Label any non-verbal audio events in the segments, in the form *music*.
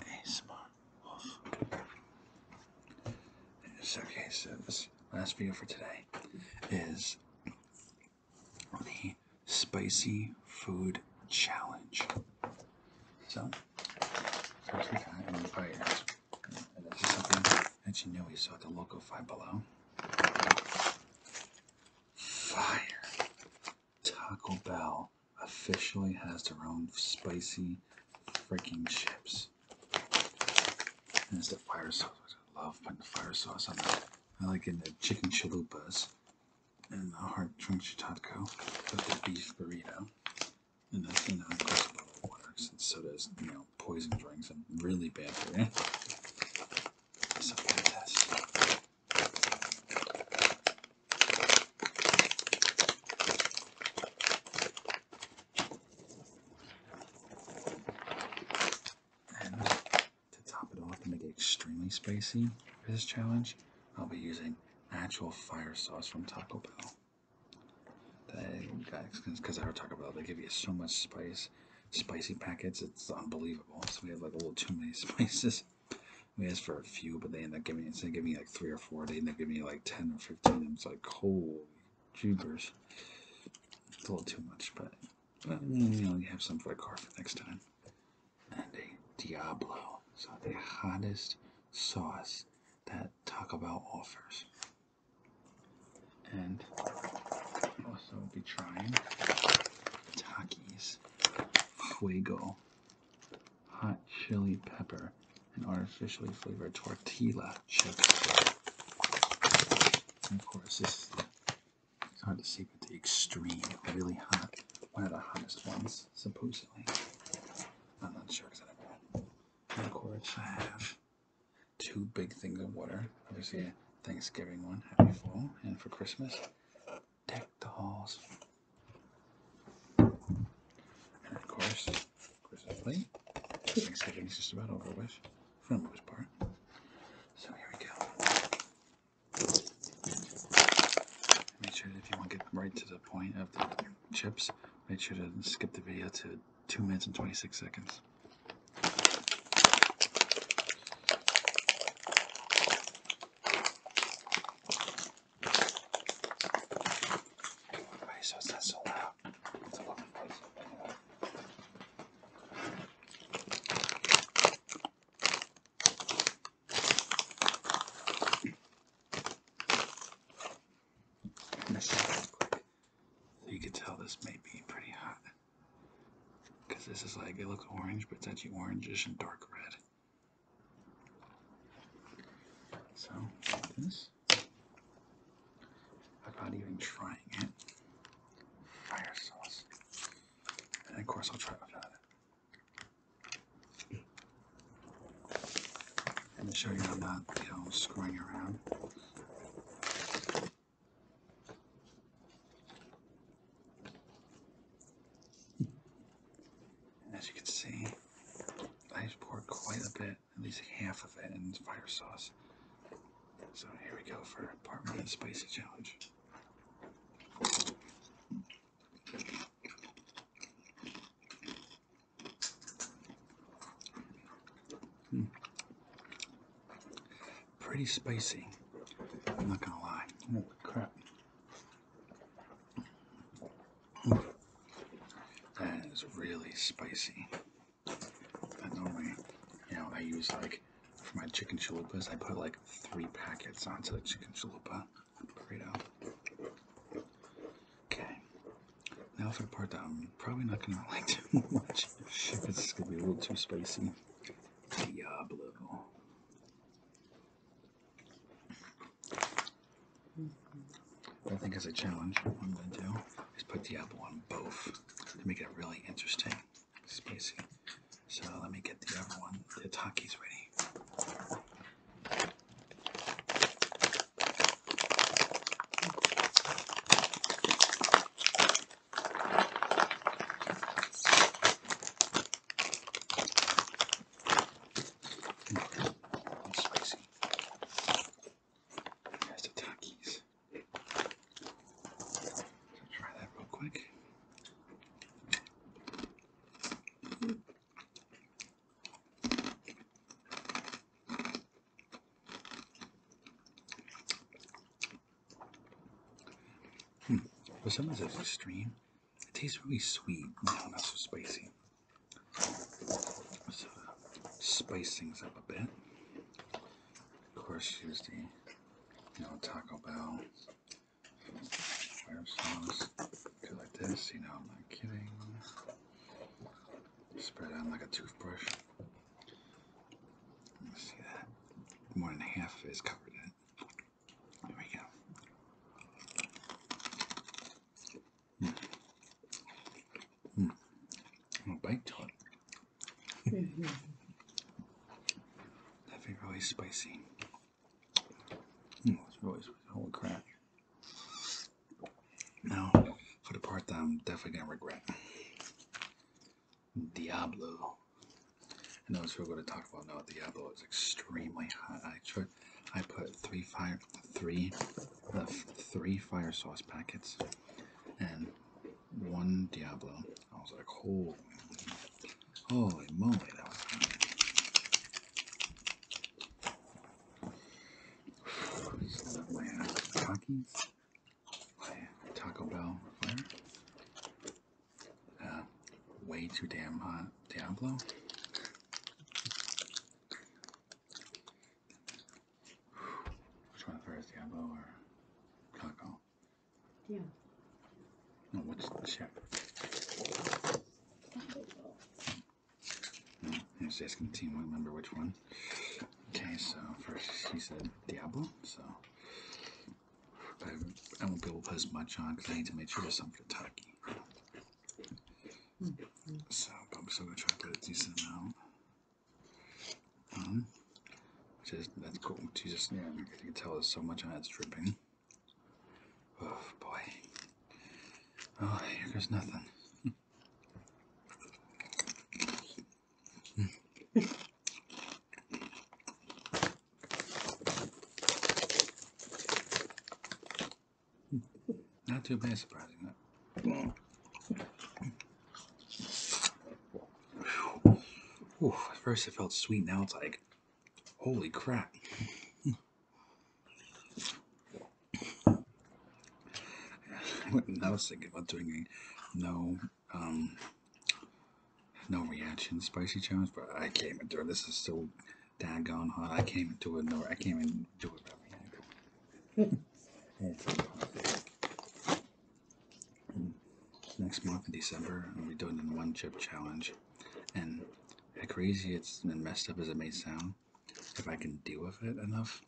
ASMR Wolf. So, okay, so this last video for today is the spicy food challenge. So, first we got in the fires. This is something that you know we saw at the local Five Below. Fire. Taco Bell officially has their own spicy freaking chips. And it's the fire sauce. I love putting the fire sauce on that. I like getting the chicken chalupas and the hard crunchy taco with the beef burrito. And the thing on course bottle water since sodas, you know, poison drinks are really bad for you. So fantastic. And to top it off and make it extremely spicy for this challenge, I'll be using actual fire sauce from Taco Bell. Because I our Taco Bell, they give you so much spice, spicy packets, it's unbelievable. So we have like a little too many *laughs* spices we asked for a few, but they end up giving instead of giving me like three or four, they end up giving me like ten or fifteen. It's like holy jeebers, it's a little too much, but uh, you know you have some for a car for next time. And a Diablo, so the hottest sauce that Taco Bell offers. And also be trying Takis Fuego hot chili pepper, and artificially flavored tortilla chips. of course, this is it's hard to see, but the extreme, really hot, one of the hottest ones, supposedly. I'm not sure because I never had. And of course, I have two big things of water. Obviously, a Thanksgiving one, happy fall, and for Christmas, deck the halls. And of course, Christmas Thanksgiving's just about over with, for the most part. So here we go. Make sure that if you want to get right to the point of the chips, make sure to skip the video to 2 minutes and 26 seconds. Okay, so it's not so loud. It's a lovely place. This is really quick. you can tell this may be pretty hot. Because this is like, it looks orange, but it's actually orangish and dark red. So this, without even trying it, fire sauce, and of course I'll try it without it. And show you i not, you know, screwing around. As you can see, I just poured quite a bit, at least half of it in fire sauce. So here we go for part one spicy challenge. Hmm. Pretty spicy, I'm not gonna lie. Holy crap that is really spicy. I normally, you know, I use like for my chicken chalupas, I put like three packets onto the chicken chalupa burrito. Okay, now for the part that I'm probably not gonna *laughs* like too much. It's gonna be a little too spicy. Diablo. I think as a challenge, what I'm going to do is put the apple on both to make it really interesting, spicy. So let me get the other one, the Takis ready. And spicy. Here's the Takis. Try that real quick. Mm. Hmm. For some reason, it's extreme. It tastes really sweet. not so spicy. Let's uh, spice things up a bit. Of course, here's the you know Taco Bell fire Do like this. You know, I'm not kidding. Spread on like a toothbrush. see that? More than half is covered in there we go. Mm. Mm. bite to it. *laughs* That'd be really spicy. Mm, it's really spicy. Holy crap. Now, for the part that I'm definitely going to regret. Diablo. I know it's real good to talk about now. Diablo is extremely hot. I tried, I put three fire, three, uh, three fire sauce packets, and one Diablo. I was like, holy, holy moly, that was hot. *sighs* Taco Bell flavor. Uh, way too damn hot Diablo. Which one first, Diablo or Taco? Yeah. No, what's the chip? No, I was asking the team, I remember which one. Okay, so first she said Diablo, so I won't be able to post much on because I need to make sure there's some for Taki. So, I'm still going to try to put a decent amount. Um, which is, that's cool. Jesus, yeah, you can tell there's so much on it's dripping. Oh, boy. Oh, here goes nothing. Hmm. Not too bad, surprising, huh? at first it felt sweet, now it's like, holy crap. I was thinking about doing no um, no reaction, spicy challenge, but I can't endure. This is so daggone hot. I can't came into it. No, I came into it without reaction. *laughs* Next month in December, we'll be doing the one chip challenge. And as crazy it's been messed up as it may sound, if I can deal with it enough,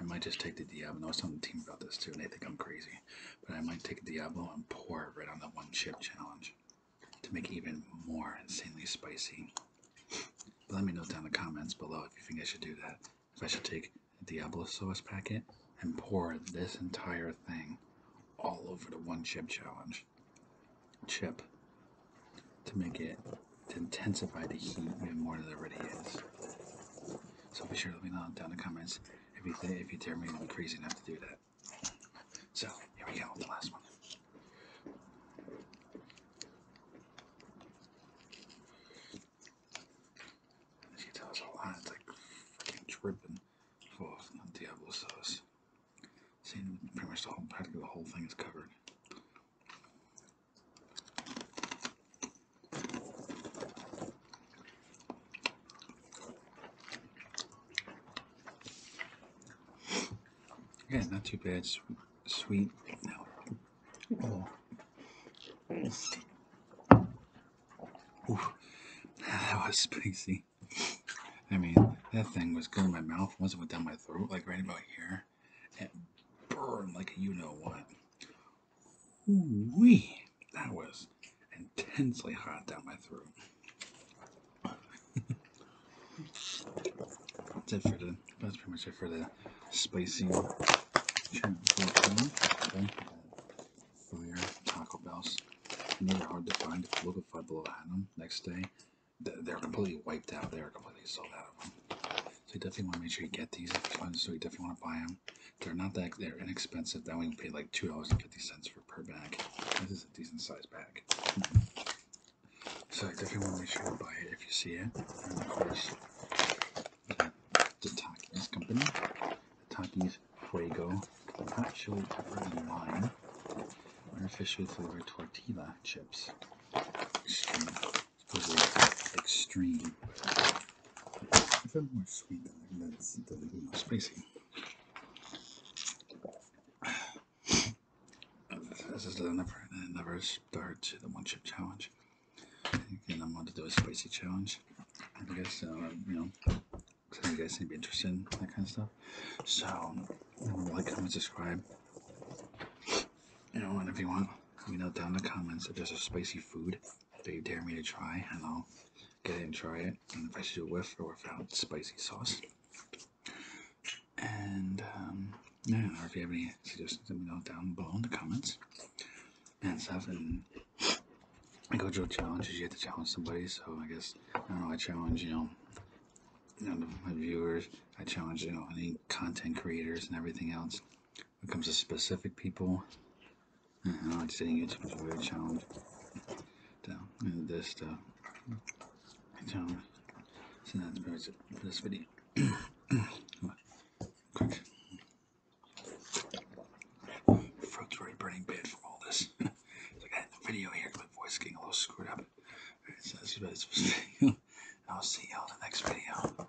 I might just take the I was telling the team about this too, and they think I'm crazy but I might take a Diablo and pour it right on the one chip challenge to make it even more insanely spicy. let me note down the comments below if you think I should do that. If I should take a Diablo sauce packet and pour this entire thing all over the one chip challenge chip to make it intensify the heat even more than it already is. So be sure to let me know down in the comments if you if you dare me, I'm crazy enough to do that. So here we go with the last one. As you a lot. It's like dripping full of Diablo sauce. Seeing pretty much the whole, the whole thing is covered. Yeah, not too bad. Sweet. Oh. *laughs* That was spicy. I mean, that thing was good in my mouth. Once it went down my throat, like right about here, it burned like you know what. Ooh wee, that was intensely hot down my throat. that's pretty much it for the spicy okay. fire Taco Bell's. Another hard to find. If you look Below Adam next day, they're completely wiped out. They are completely sold out of them. So you definitely want to make sure you get these if you find. So you definitely want to buy them. They're not that they're inexpensive. That we pay like two dollars and fifty cents for per bag. This is a decent sized bag. So I definitely want to make sure you buy it if you see it. And of course, the, the Takis company. The Takis Fuego hot chili pepper and lime artificially flavored tortilla chips. Extreme. extreme. I feel more sweet than, than, than spicy. This is the never, never start the one chip challenge. Again, I'm going to do a spicy challenge. I guess, uh, you know, you guys seem to be interested in that kind of stuff. So, like, comment, subscribe. You know, and if you want, let me know down in the comments if there's a spicy food they dare me to try, and I'll get it and try it. And if I should do it with or without spicy sauce. And um, yeah, or if you have any suggestions, let me know down below in the comments and stuff. And I go through challenges. You have to challenge somebody. So I guess I don't know. I challenge you know my viewers. I challenge you know any content creators and everything else when it comes to specific people. I like sitting YouTube is a weird challenge. Down this stuff. So that's it for this video. *coughs* Quick. Throat's already burning bad from all this. so *laughs* I got the video here, my voice getting a little screwed up. Right, so that's what it's supposed to be. *laughs* I'll see y'all in the next video.